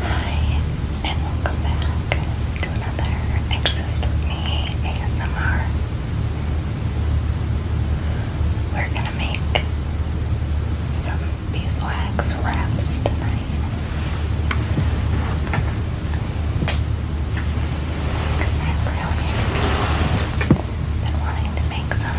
Hi, and welcome back to another Exist With Me ASMR. We're gonna make some beeswax wraps tonight. I've really been wanting to make some.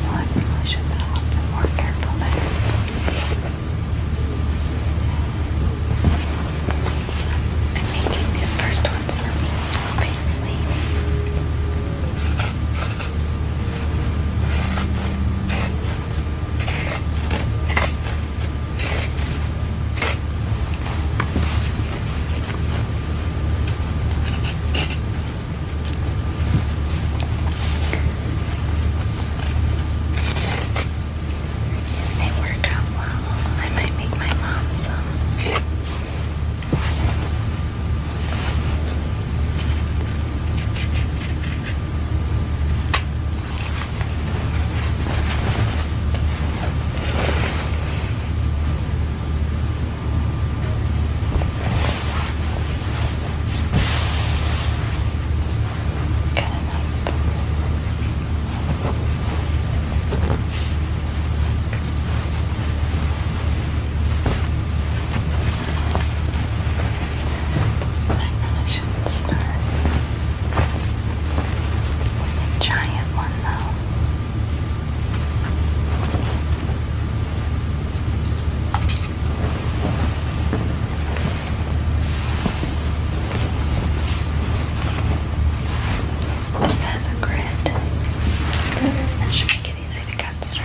Well, I probably should have been a little bit more careful there. I'm making these first ones for me, obviously. They work out well. I might make my mom some. Good enough. I really shouldn't start a giant one though. This has a grid. That should make it easy to cut straight.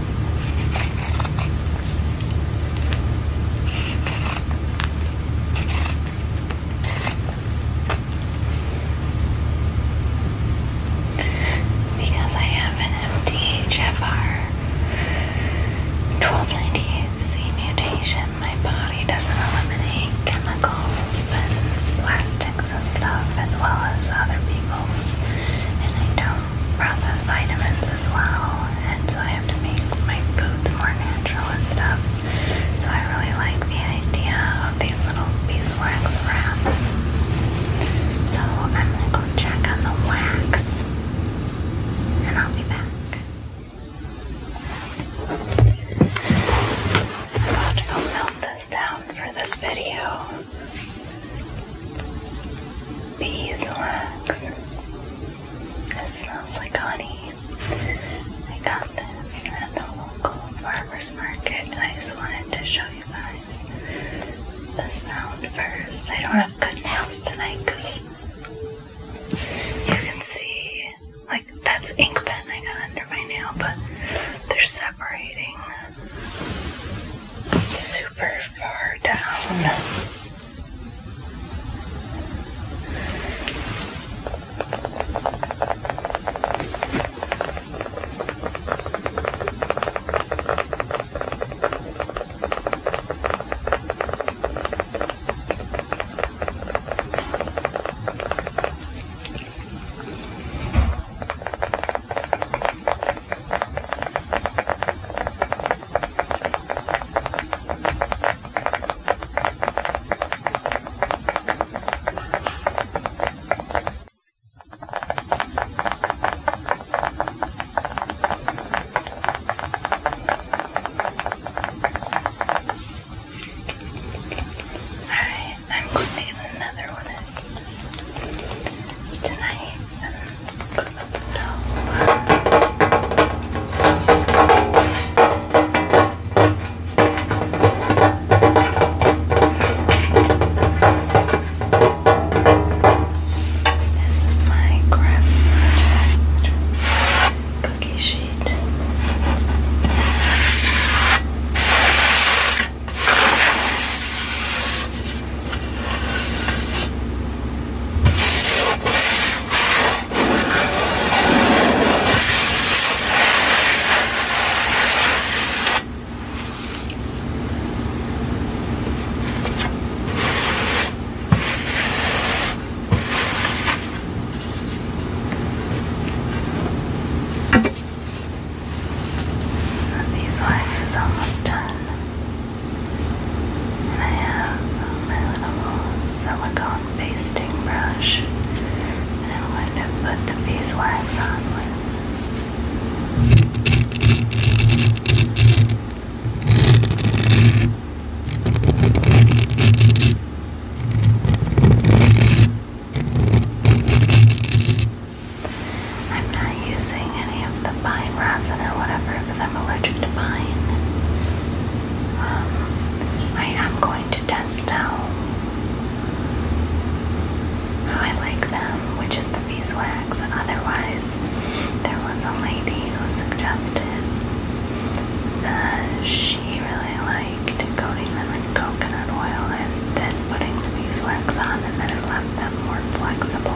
Because I have an MTHFR 1298C mutation, my body doesn't eliminate chemicals plastics and stuff as well as other people's, and I don't processed vitamins as well, and so I have to make my foods more natural and stuff. So I really like the idea of these little beeswax wraps. So I'm gonna go check on the wax, and I'll be back. about to go melt this down for this video. Beeswax. It smells like honey. I got this at the local farmer's market I just wanted to show you guys the sound first. I don't have good nails tonight because you can see, like, that's ink pen I got under my nail, but they're separating super far down. Alright, I'm going to get another one tonight and cook the stove. This is my crafts project cookie sheet. And these wax is almost done. I have my little silicone basting brush and I'm going to put the beeswax on with. Okay, I'm not using any of the pine resin or whatever because I'm allergic to pine. Um, I am going to test now how I like them, which is the beeswax. Otherwise, there was a lady who suggested that she really liked coating them with coconut oil and then putting the beeswax on, and then it left them more flexible.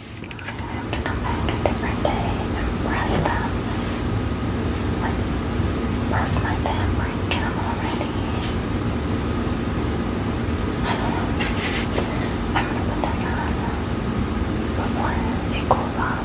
I are going to have to come back a different day and press them. Like, press my fabric and I'm already. I am going to put this on before it cools off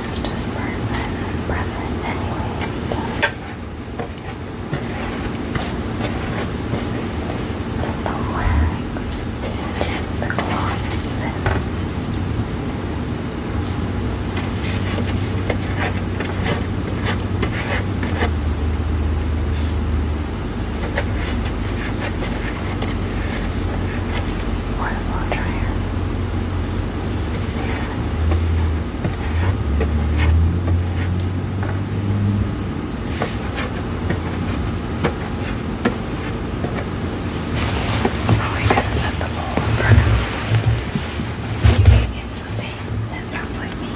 it's just for a present anyways. The wax, the cloth, Water blow dryer. Oh, I gotta set the bowl in front You TV in the sink. That sounds like me.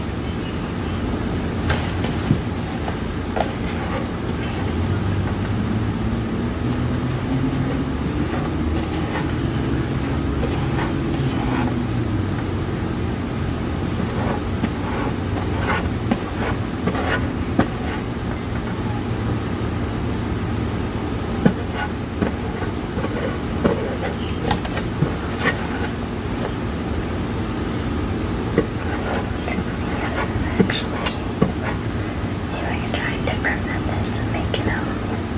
Actually, you are trying different methods of making them. Because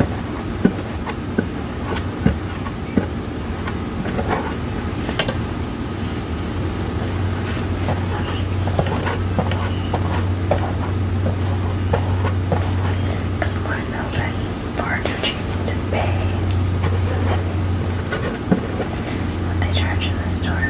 Lord knows I'm far too cheap to pay what they charge in the store.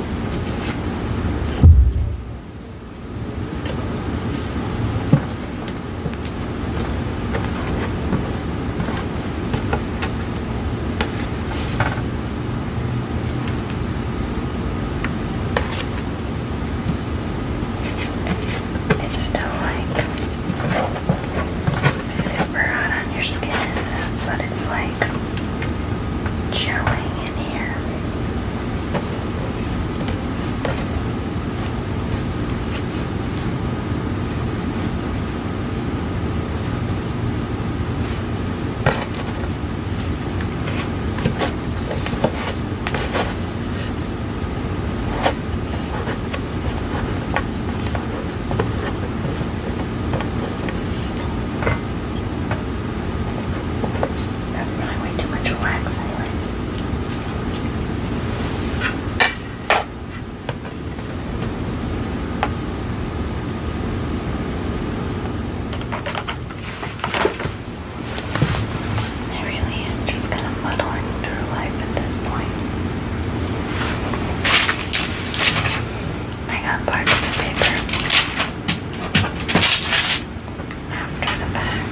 It's still like super super hot on your skin, but it's like chilling in here. That's probably way too much wax, anyways. I really am just kind of muddling through life at this point. I got parchment paper after the fact.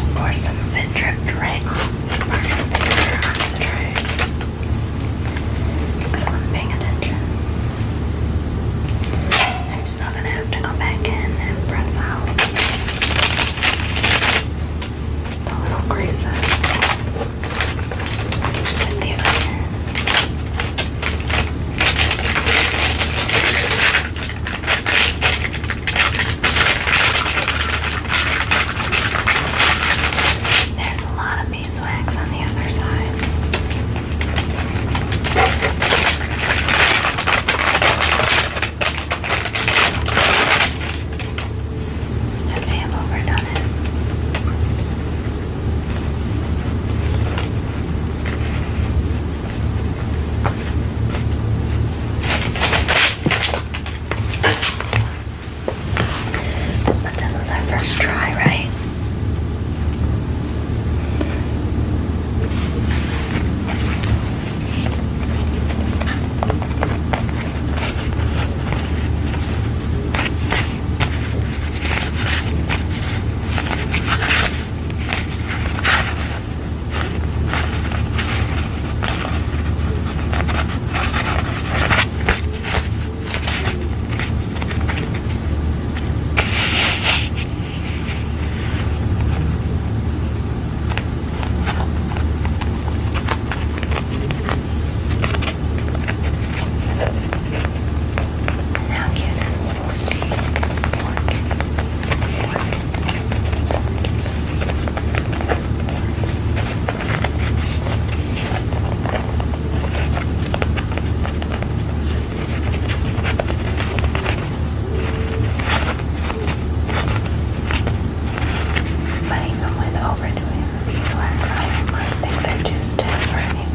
Of course, some fit drip drink. We're gonna put it on the tray. Because I'm paying attention. I'm still gonna have to go back in and press out the little creases with the iron. There's a lot of beeswax on the other side. Okay, i overdone it. But this was our first try, right? How cute is Morty? Morty. Morty. But even with overdoing the beeswax, I don't think they're too stiff or anything.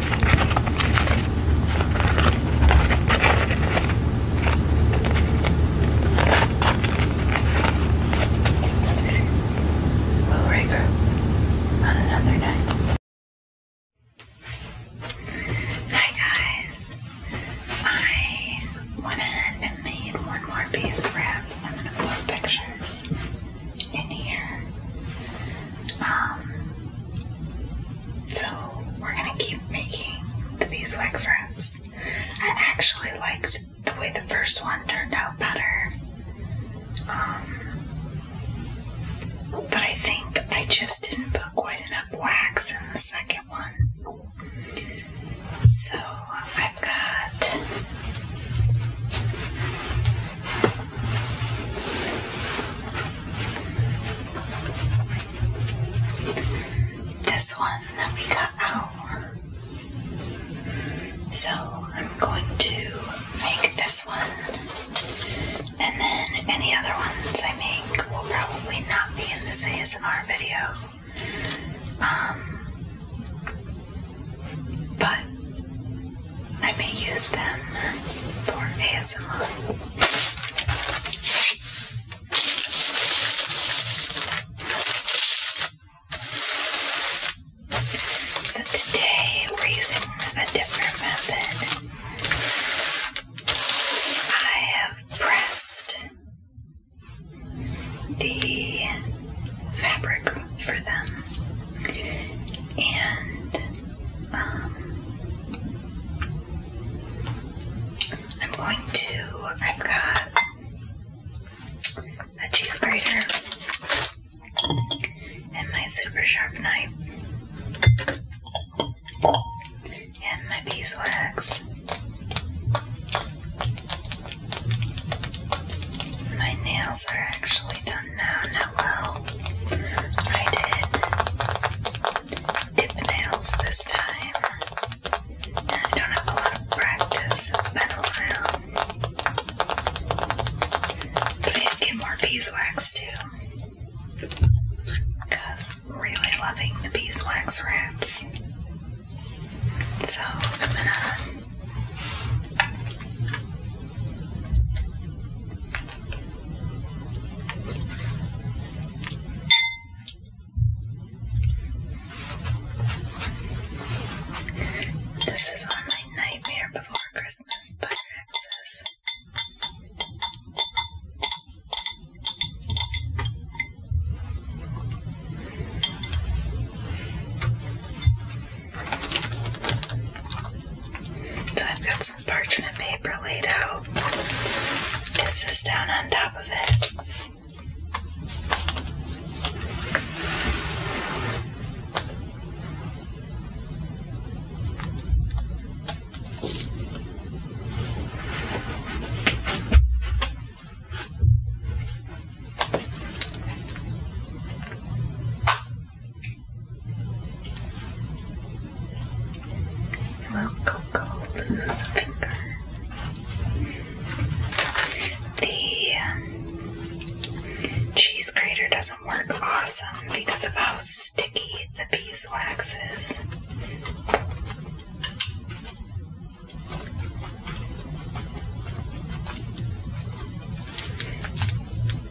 Will Raker on another night. Hi guys, I went ahead and one more piece wrap. I'm gonna put pictures in here. Um, so we're gonna keep making the beeswax wraps. I actually liked the way the first one turned out better. Um, but I think I just didn't put quite enough wax in the second one. So I've got this one that we got out. So I'm going to make this one, and then any other ones I make will probably not be in this ASMR video. Um, but I may use them for ASL. So today we're using a different method. I have pressed the fabric for them. And um, I'm going to, I've got a cheese grater and my super sharp knife and my beeswax. My nails are actually done done that. Hello. I did dip nails this time. And I don't have a lot of practice. It's been a while. I have to get more beeswax too. really loving the beeswax wraps. So I'm gonna this is on my Nightmare Before Christmas by Nexus. So I've got some parchment paper laid out. This is down on top of it. Will Coco lose finger? The cheese grater doesn't work awesome because of how sticky the beeswax is.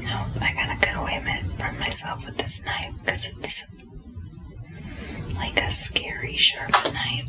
Nope, I gotta get away from myself with this knife because it's like a scary sharp knife.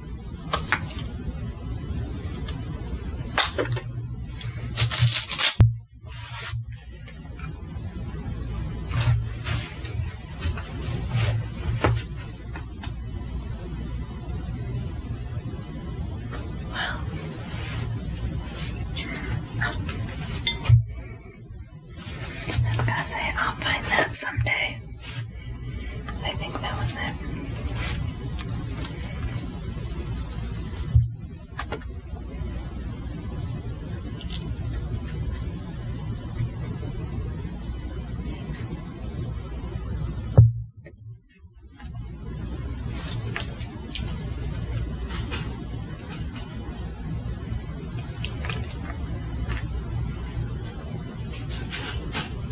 Wow. I'm gonna say I'll find that someday. I think that was it.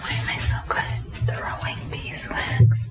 Why am I so good at throwing beeswax?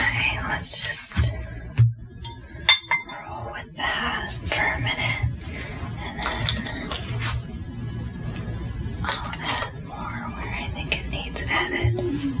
Alright, let's just roll with with that for a minute and then I'll add more where I think it needs added.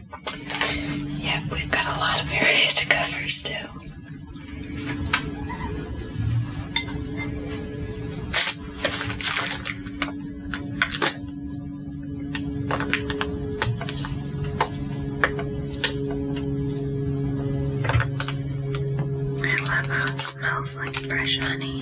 Yeah, we've got a lot of area to cover still. I love how it smells like fresh honey.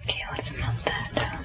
Okay, let's melt that down.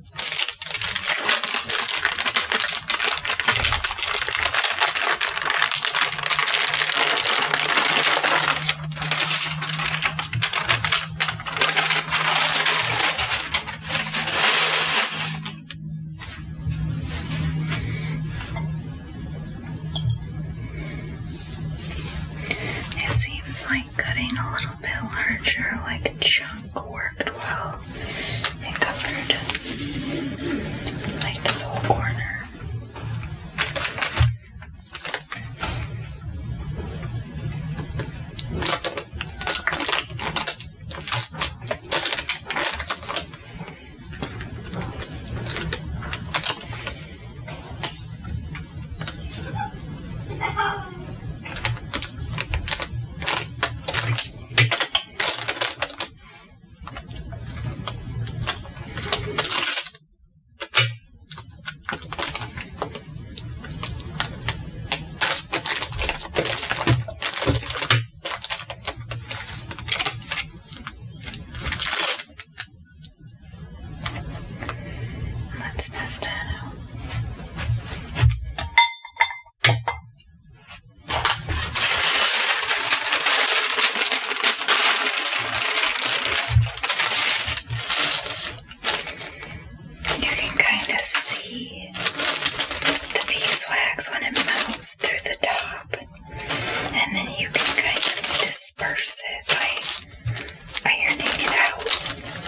It seems like cutting a little bit larger, like a chunk worked well and covered like this whole corner. Let's test that out. You can kind of see the beeswax when it melts through the top, and then you can kind of disperse it by ironing it out.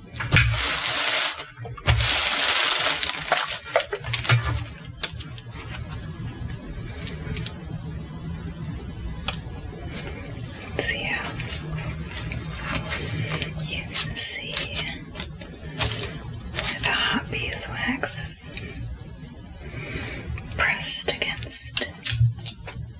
see you can see where the hot beeswax is pressed against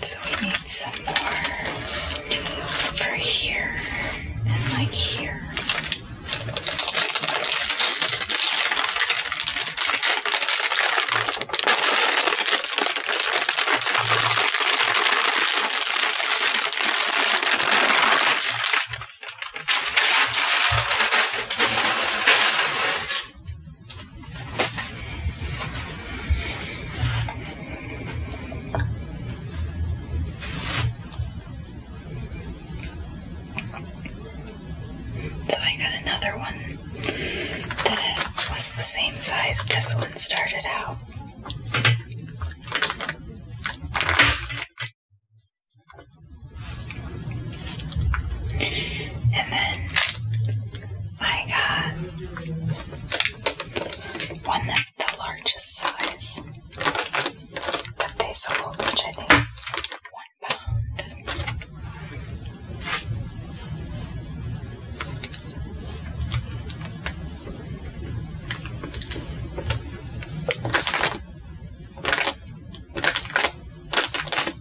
So we need some more over here and like here. So I got another one that was the same size this one started out. And then I got one that's the largest size that they sold, which I think one pound.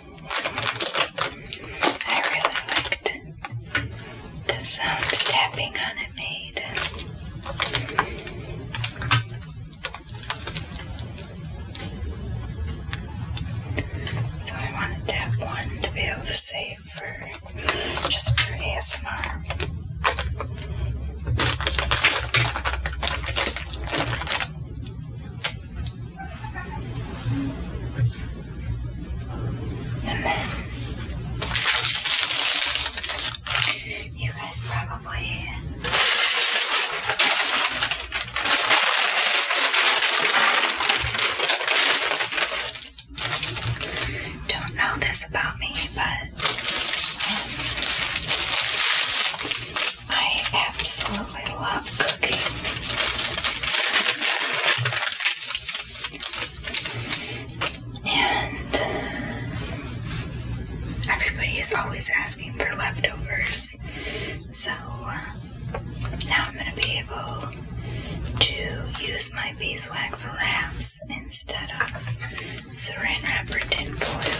I really liked the sound tapping on it made. So I wanted to have one to be able to save for just for ASMR. And then you guys probably don't know this about me, but I absolutely love cooking. And everybody is always asking for leftovers. So now I'm going to be able to use my beeswax wraps instead of saran wrap or tin foil.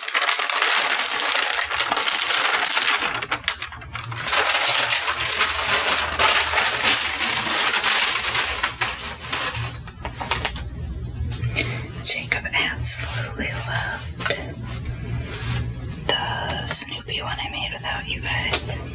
Jacob absolutely loved the Snoopy one I made without you guys.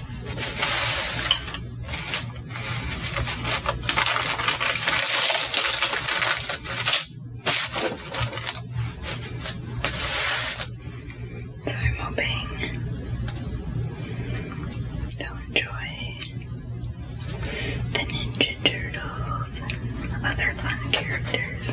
So I'm hoping they'll enjoy the Ninja Turtles and other fun characters.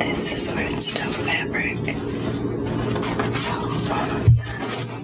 This is where it's still fabric. So almost done.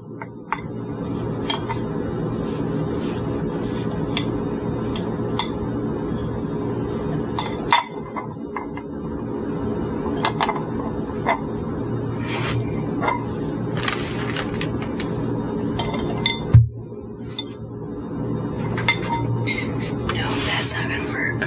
No, that's not gonna work.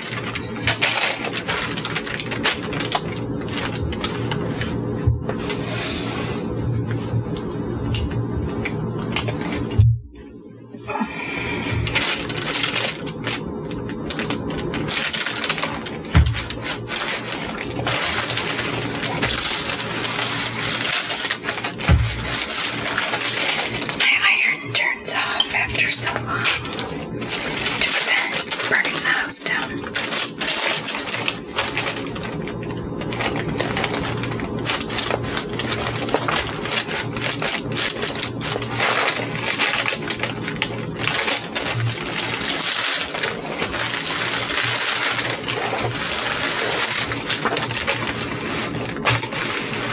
My iron turned burns off after so long to prevent burning the house down.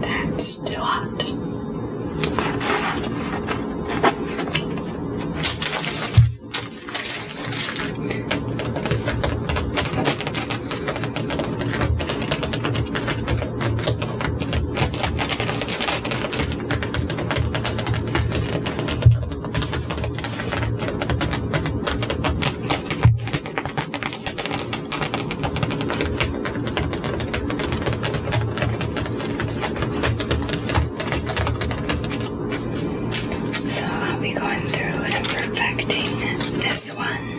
That's still hot. So I'll be going through and I'm perfecting this one.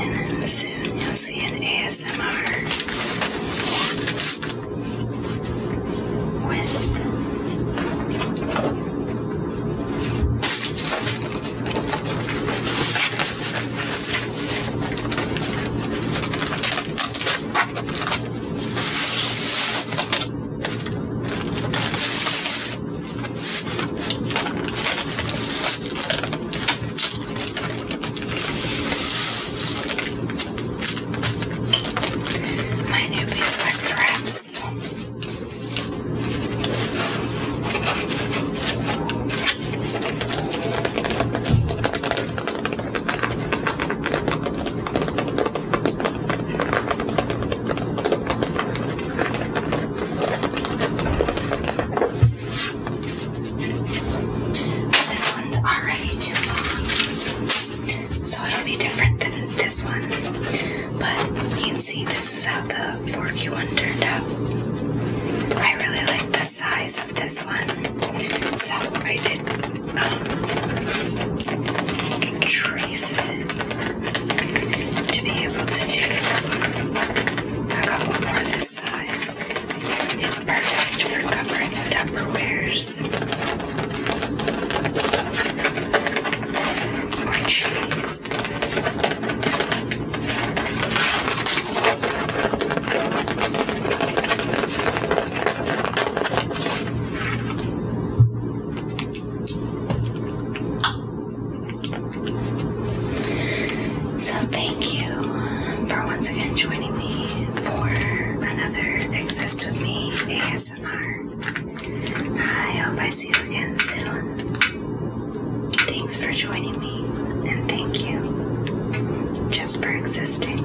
And then soon you'll see an ASMR with my new beeswax wraps. But this one's already too long, so it'll be different than this one. But you can see this is how the forky one turned out. I really like the size of this one, so I did um, trace it to be able to do. a couple more of this size. It's perfect for covering Tupperwares or cheese. So, thank you for once again joining me for another Exist With Me ASMR. I hope I see you again soon. Thanks for joining me, and thank you just for existing.